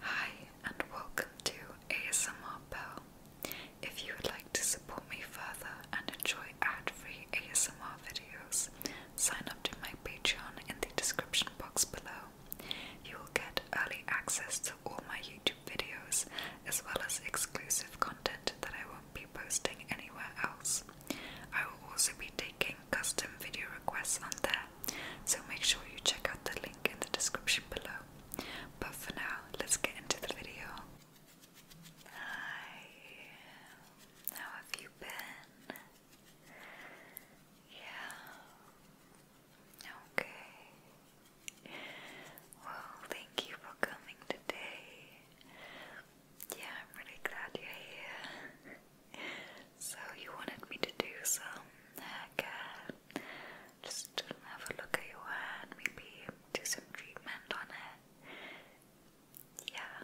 Hi, and welcome to ASMR Pearl. If you would like to support me further and enjoy ad free ASMR videos, sign up to my Patreon in the description box below. You will get early access to all my YouTube videos as well as exclusive content that I won't be posting anywhere else. I will also be taking custom video requests on there so make sure you check out the link in the description below. But for now, let's get into the video. Hi, how have you been? Yeah, okay. Well, thank you for coming today. Yeah, I'm really glad you're here. So you wanted me to do some hair care. Just have a look at your hair maybe do some treatment on it. Yeah.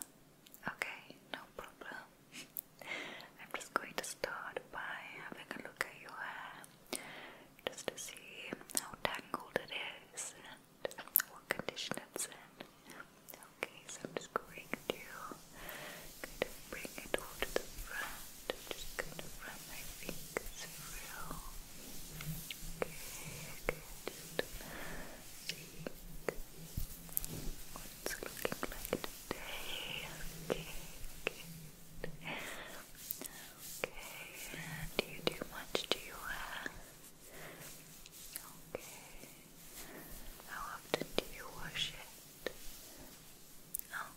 Okay, no problem. I'm just going to start by having a look at your hair just to see how tangled it is and what condition it's in. Okay, so I'm just going to Going to bring it all to the front. just going to run my fingers through. Okay, okay, just seeing what it's looking like today. Okay, good. Okay, do you do much to your hair? Okay. How often do you wash it? Good.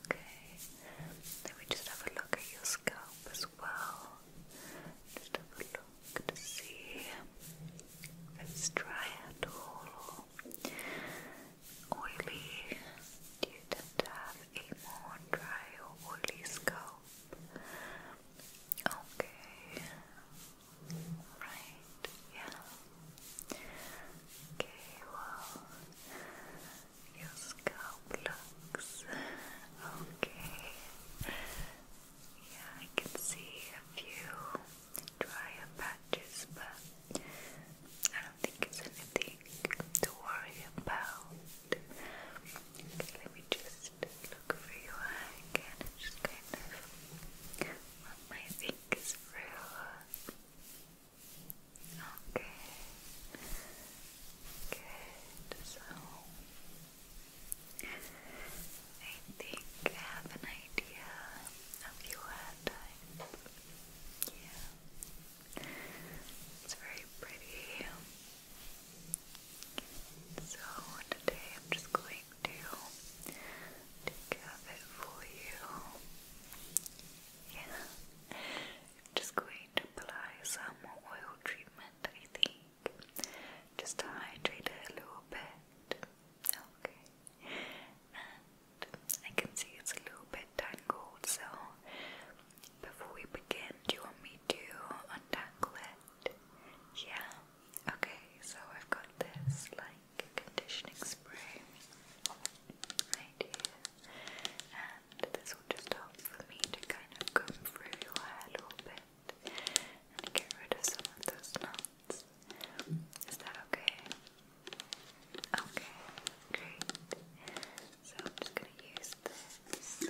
Okay. Let me just have a look at your scalp as well. Just have a look to see if it's dry at all oily. Do you tend to have a more dry or oily scalp? Okay. Yeah. Okay, well, your scalp looks okay. Yeah, I can see a few drier patches, but I don't think it's anything to worry about. Okay, let me just look for your again just kind of run my fingers through. Okay. Good. So I think I have an idea of your hair Yeah. It's very pretty. So today I'm just going to take care of it for you. Yeah. I'm just going to apply some oil treatment, I think. Just to hydrate it a little bit. Okay. And I can see it's a little bit tangled, so before we begin, do you want me to untangle it? Yeah. Okay, so I've got this like conditioning spray I do and this will just help for me to kind of comb through a little bit and get rid of some of those knots is that okay? okay, great so I'm just going to use this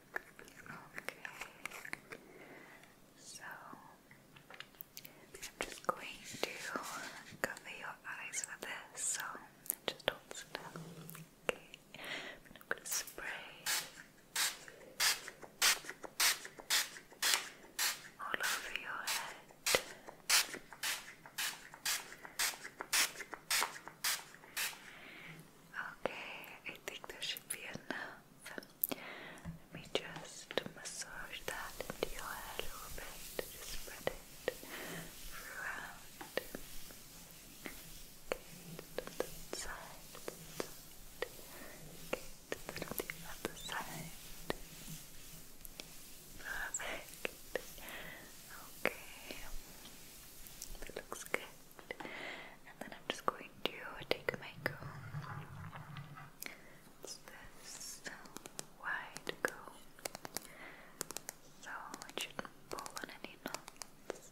Okay. So I'm just going to cover your eyes with this, so just hold still. Okay. I'm gonna spray all over your head. Okay, I think there should be enough. Let me just massage that into your hair a little bit. Just spread it throughout. Okay, to the side. Okay, to the other side. Perfect. Okay, that looks good. And then I'm just going to take my comb. wide comb. So it shouldn't pull on any knots.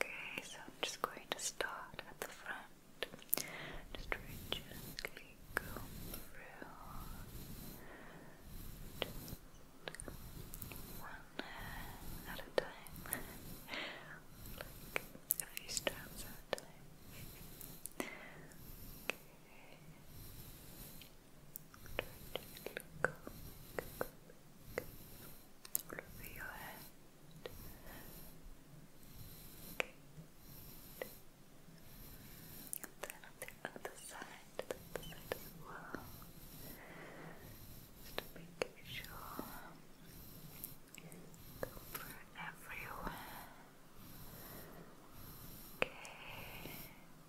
Okay, so I'm just going to start at the front. Just very go through. Just one at a time. like a few strands at a time. Okay go, go, all over your head. Good. And then on the other side, Just to make sure cover everywhere. Okay.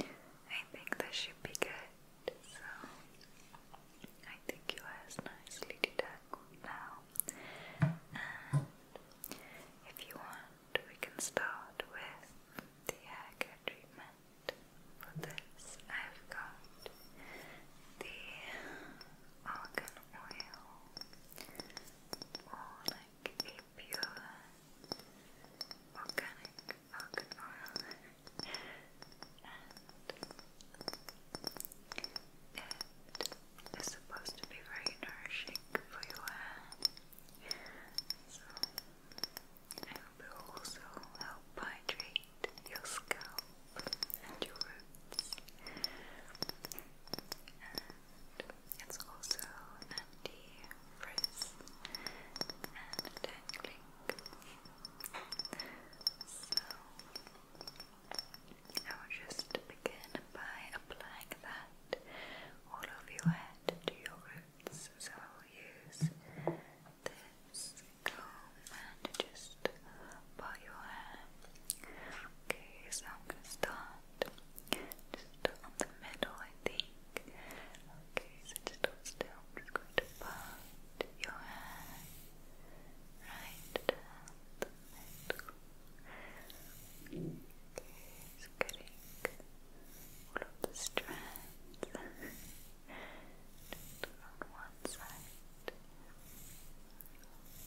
I think this should be good. So I think your hair is nicely detangled now. if you want, we can start with the hair care treatment. For this, I've got the argan oil, or like a organic argan oil and supposed to be very nourishing for your hair so it will also help hydrate your scalp and your roots it's also sandy frizz and tangling. So I will just begin by applying that all over your head to your roots. So I will use this comb and just part your hair. Okay, so I'm gonna start just on the middle, I Okay, so just still. just going to part your hair right down the middle. Okay, so getting all of the on one side.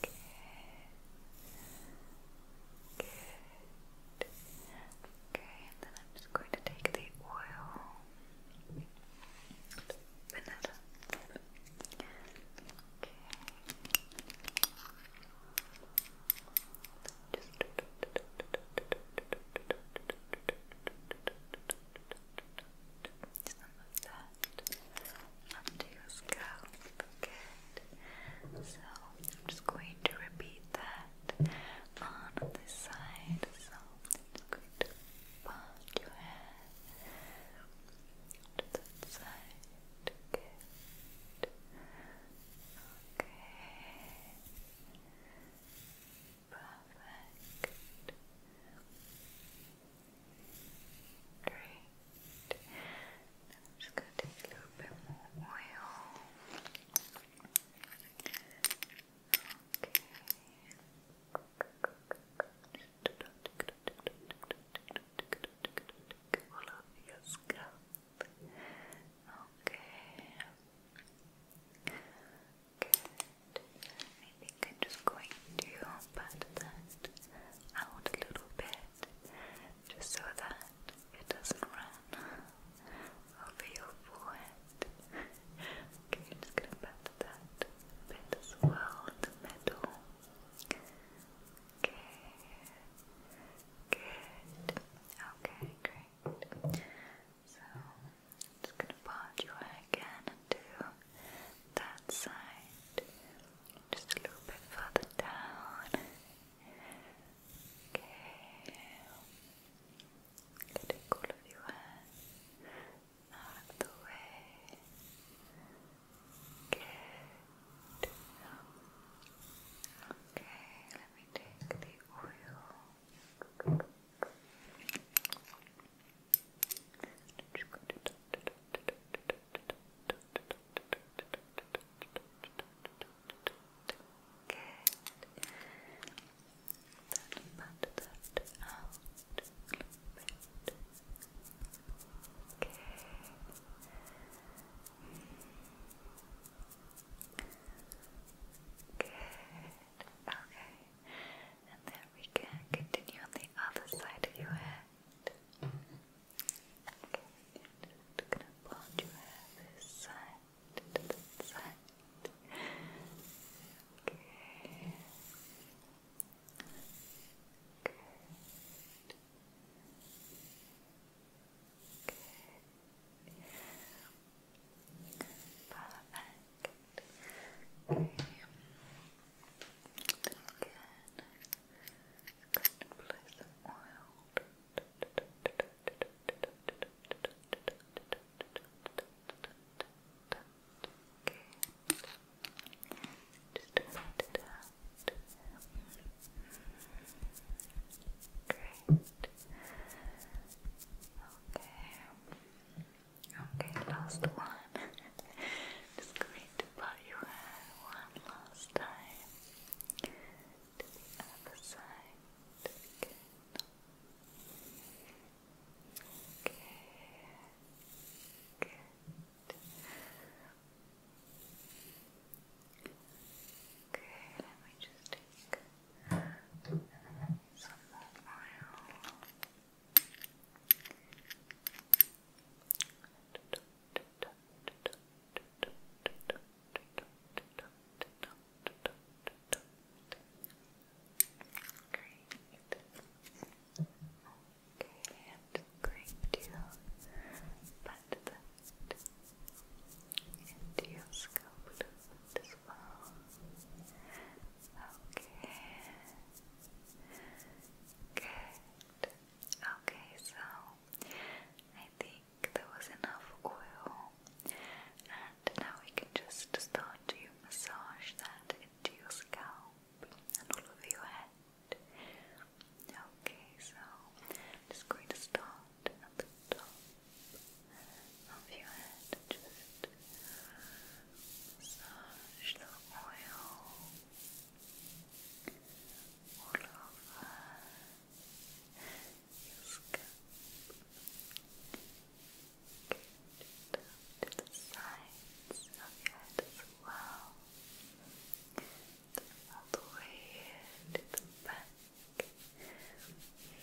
Okay. Okay, and then I'm just going to take the oil vanilla. Okay. Just some of that onto your scalp. Good. So I'm just going to repeat that head on this side, so it's going to your head to that side. Okay. Perfect. Great. just going to take a little bit more oil. Okay. All over Okay. I think I'm just going to pat that out a little bit just so that it doesn't run over your forehead. okay, just gonna pat that bit as well in the middle. Okay, good. Okay, great. So, just gonna part your hair again and do that side. Just a little bit further down. Okay. Getting all of your hair out of the way. Good. Okay, let me take the oil. Good. Then Okay. Okay. And then we can continue on the other side of your head. Okay. Just gonna blonde your hair this side to the side. Okay. Good. Good. Perfect. Okay. Then again, I'm going to apply some oil. Okay, last one. Just going to put you in one last time to the Okay, Okay, let me just take some more oil. Great. Okay, I'm going to into your scalp as well. Okay. Good. Okay, so I think think there was enough oil, and now we can just start to massage that into your scalp and all over your head. Okay, so I'm just going to start at the top of your head just massage the oil all over your scalp. Good. Down to the sides of your head as well. All the way to the back. Okay. Good.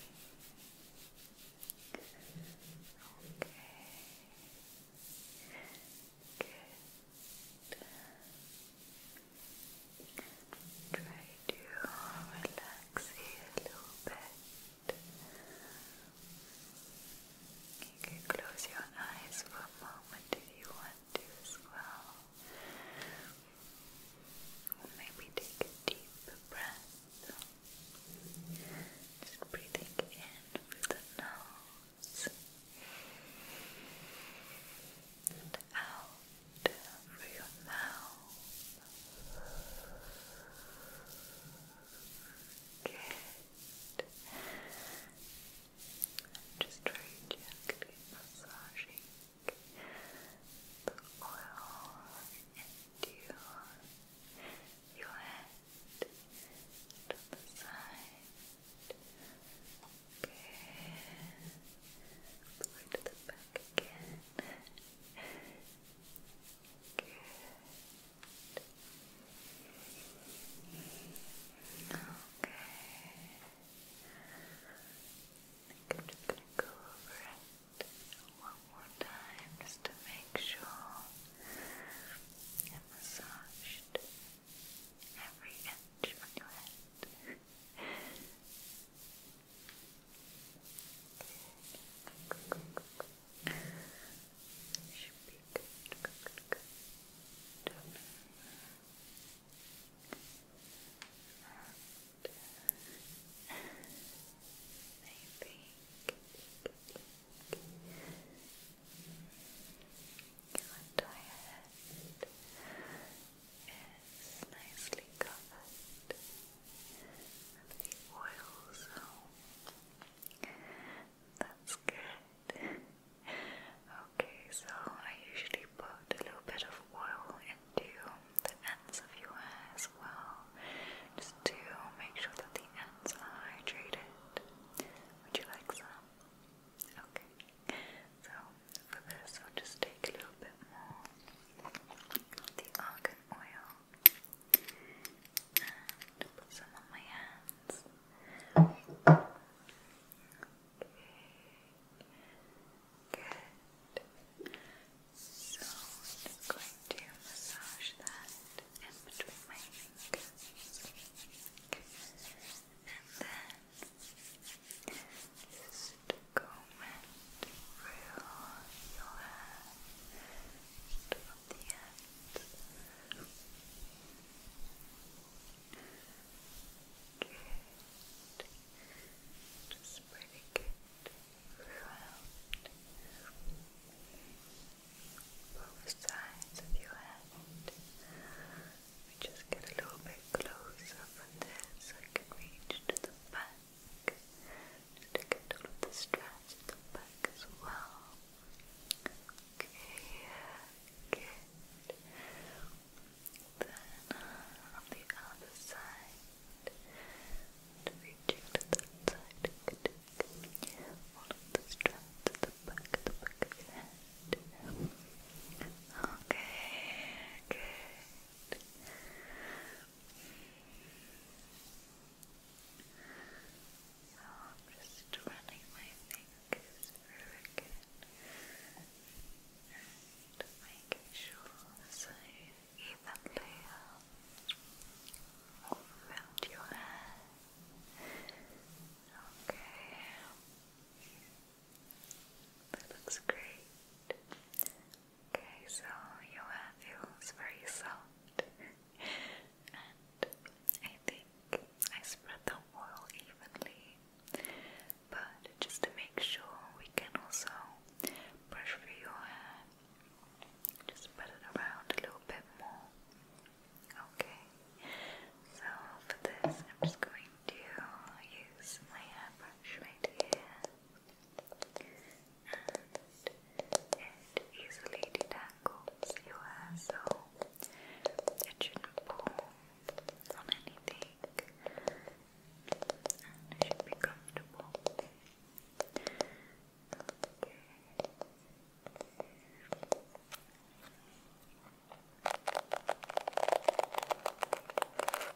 Try to relax here a little bit. You can close your eyes for a moment if you want to as well. Or maybe take a deep breath. Just breathing in through the nose and out through you mouth. Good. just gently massaging the oil into your head and the side. Okay. All the back back again. Okay. I'm just going to go over it one more time just to make sure I massaged every inch on your head. Should be good, good, good, good is nicely covered and oil, so that's good. okay, so I usually put a little bit of oil into the ends of your hair as well, just to make sure that the ends are hydrated. Would you like some? Okay, so for this, I'll just take a little bit more of the argan oil and put some on my hands. Okay. Good. So I'm just going to massage that in between my fingers. Okay. And then just combing through your hair from the end. Good. Just pretty good throughout both sides of your head. We just get a little bit closer for this so I can reach to the back back. Just to get all of the stress at the back as well. Okay, good. Then on the other side, to reach to that side, good. All of the stress at the back, the back of Okay, so I'm just running my fingers through again making sure so evenly around your hair. Okay. That looks great. Okay, so your hair feels very soft, and I think I spread the oil evenly. But just to make sure, we can also brush through your hair, just spread it around a little bit more. Okay, so for this, I'm just going to use my hairbrush right here and it easily detangles your hair so it shouldn't pull on anything and it should be comfortable. Okay. Okay.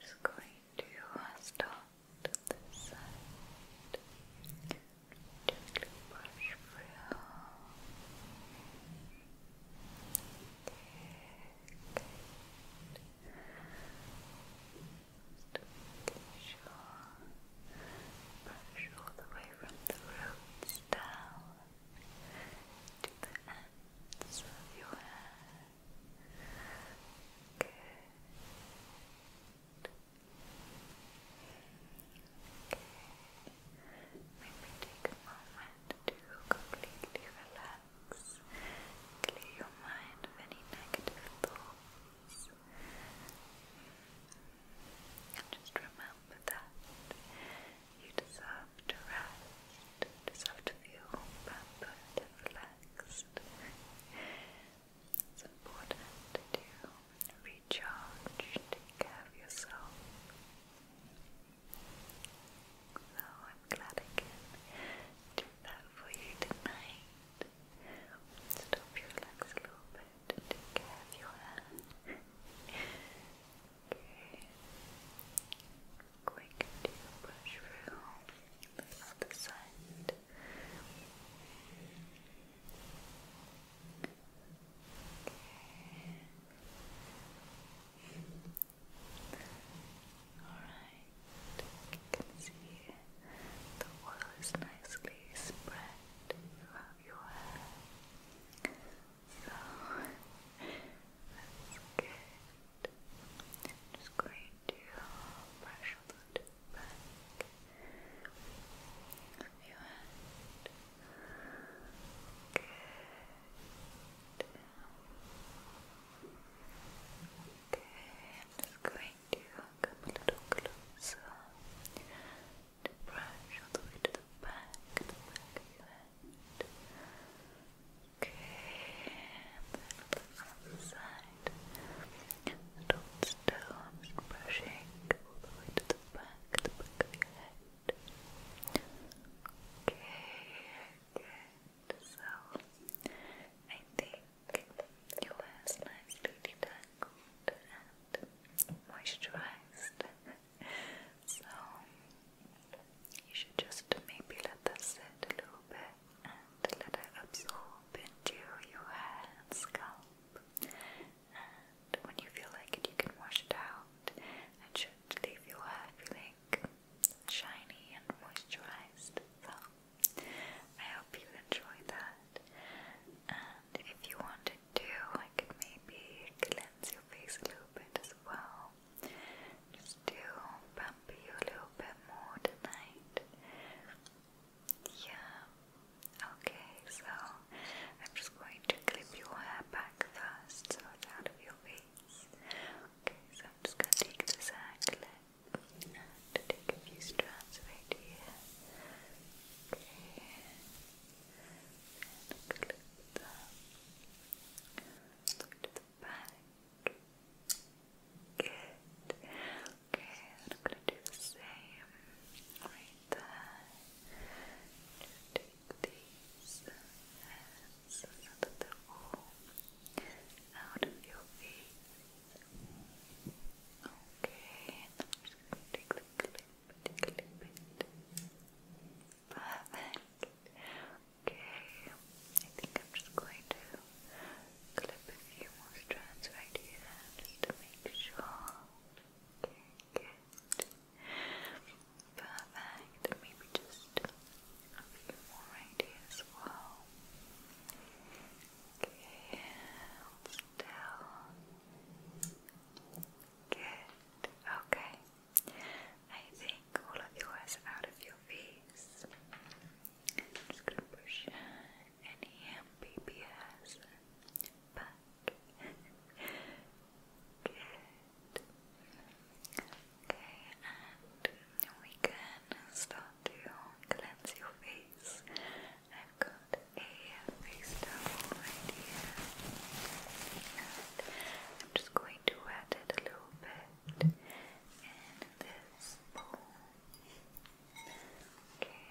Just going to start this side. Gently brush through. Just sure. Brush all the way from the roots down to the ends of your hair. Good. Maybe take a moment to completely relax, clear your mind of any negative thoughts. And just remember that you deserve to rest, deserve to feel pampered and relaxed. It's important to recharge, take care of yourself. So oh, I'm glad I can do that for you tonight. Just hope you a little bit and take care of your hair. okay. Quick to brush through the other side. Alright, you can see the oil is nicely spread throughout your hair. So, that's good. just going to brush a back of your head. Good. Okay, I'm just going to come a little closer brush all the back, of your head. Okay, side. Don't still, brushing all the back of your head. Okay, So I think your hair is nicely detangled and moisturized. so you should just maybe let that sit a little bit and let it absorb into your hair and scalp and when you feel like it, you can wash it out and should leave your hair feeling shiny and moisturized. So, I hope you enjoyed that. And if you wanted to, I could maybe cleanse your face a little bit as well. Just to pump you a little bit more tonight. Yeah. Okay, so I'm just going to clip your hair back first, so out of your face. Okay, so I'm just going to take this hair clip and take a few strands right here. Okay, and clip them. Look the back. Good. Okay, I'm going to do the same there. Just take these hands so that they out of your face. Okay, I'm just going to take the clip and clip it. Perfect. Okay, I think I'm just going to clip a few more strands right here just to make sure. Okay, Perfect. And maybe just a few more right here Okay, still. Good. Okay. I think all of yours out of your face. just gonna push any baby hairs back. Good. Okay, and we can start to cleanse your face. I've got a face And I'm just going to wet it a little bit in this bowl. Okay.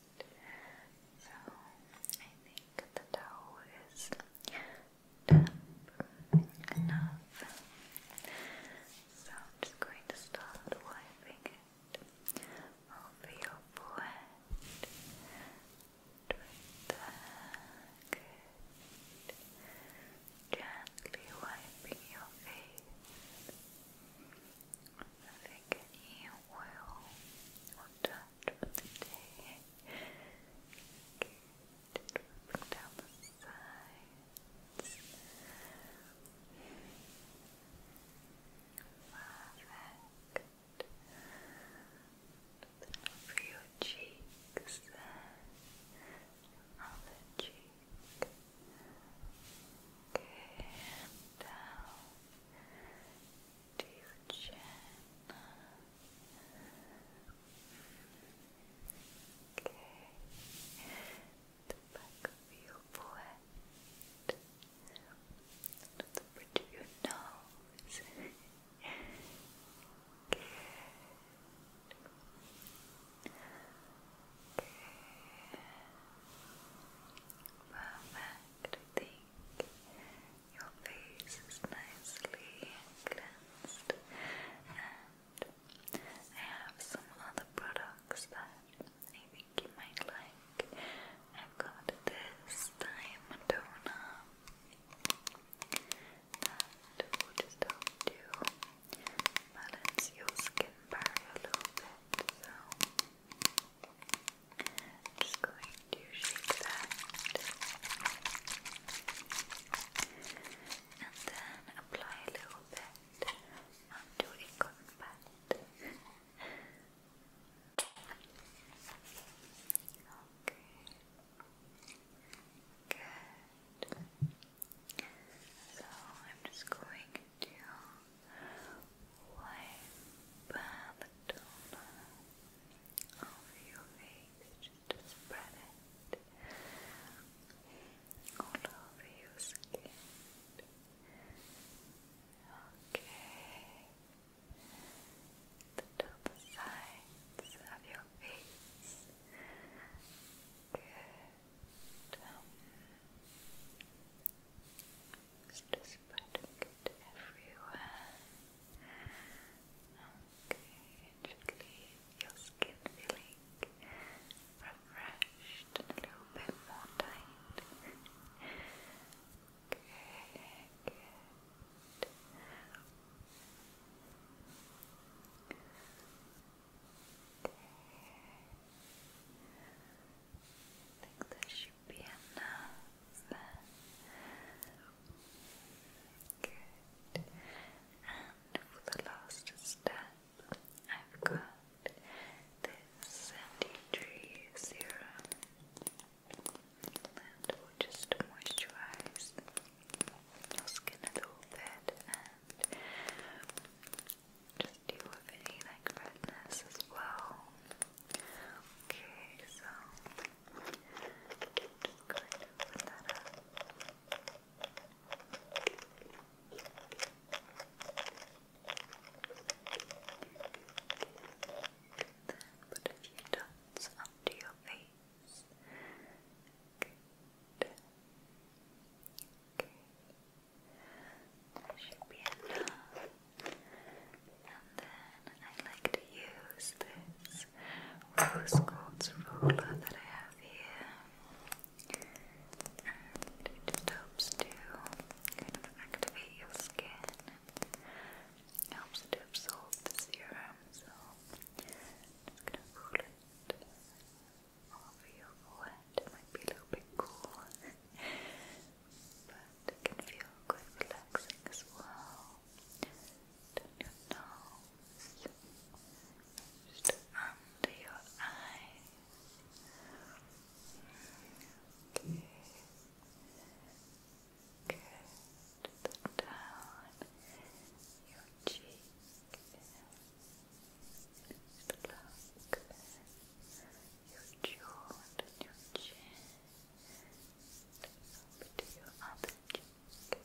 So I think the towel is damp enough. So I'm just going to start wiping it over your forehead. Right there, Gently wiping your face. I think any well. Well done for the day. down the sides. Perfect. For your cheeks, other cheek. Okay, and down to your chin. Okay, the back of your forehead, to the bridge of your nose. Good. Good. Perfect fact, I think your face is nicely cleansed, and I have some other products that I think you might like. I've got this time toner that just to balance your skin barrier a little bit. So. I'm just going to shake that. And then apply a little bit onto a cotton pad. okay. Good. So I'm just going you wipe the toner off your face just spread it all over your skin. Okay, the top of your face. Good. Just spreading it everywhere. Okay, just leave your skin feeling refreshed a little bit more tight. okay, Okay think that should be enough Good. And for the last step, I've got this sandy tree serum. And we'll moisturize your skin a little bit just deal with any like redness as well. Okay, so just going to put that up. Then put a few dots onto your face. Okay. That should be enough. And then I like to use this rose quartz roller that I have here. And it just helps to kind of activate your skin. helps to absorb the serum. So just gonna roll it over your forehead. It might be a little bit cool. but it can feel quite relaxing as well. Down your nose, under your eyes. Okay. Good. Down your cheek. Just your jaw and then your chin and up to your other cheek.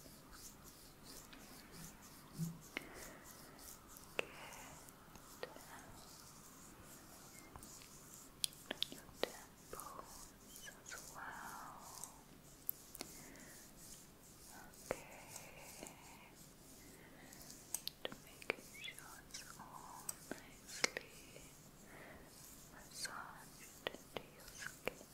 Good. And your temples as well. Okay. Just making sure it's all nicely massaged into your skin.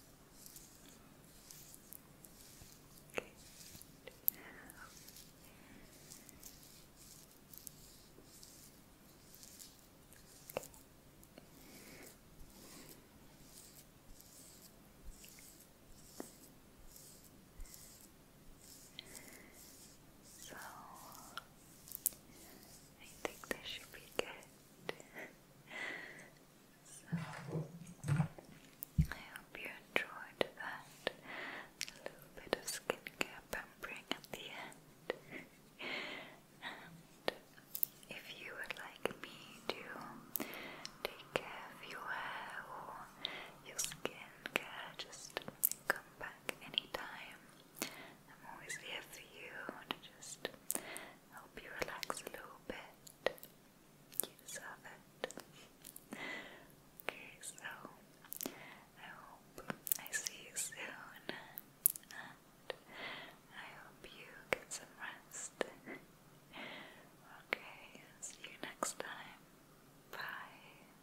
So I think this should be good. so I hope you enjoyed that little bit of skincare pampering at the end. and if you would like me to take care of your hair or your skin just come back anytime. I'm always here for you to just help you relax a little bit. Okay, so I hope I see you soon, and I hope you get some rest. okay, see you next time. Bye.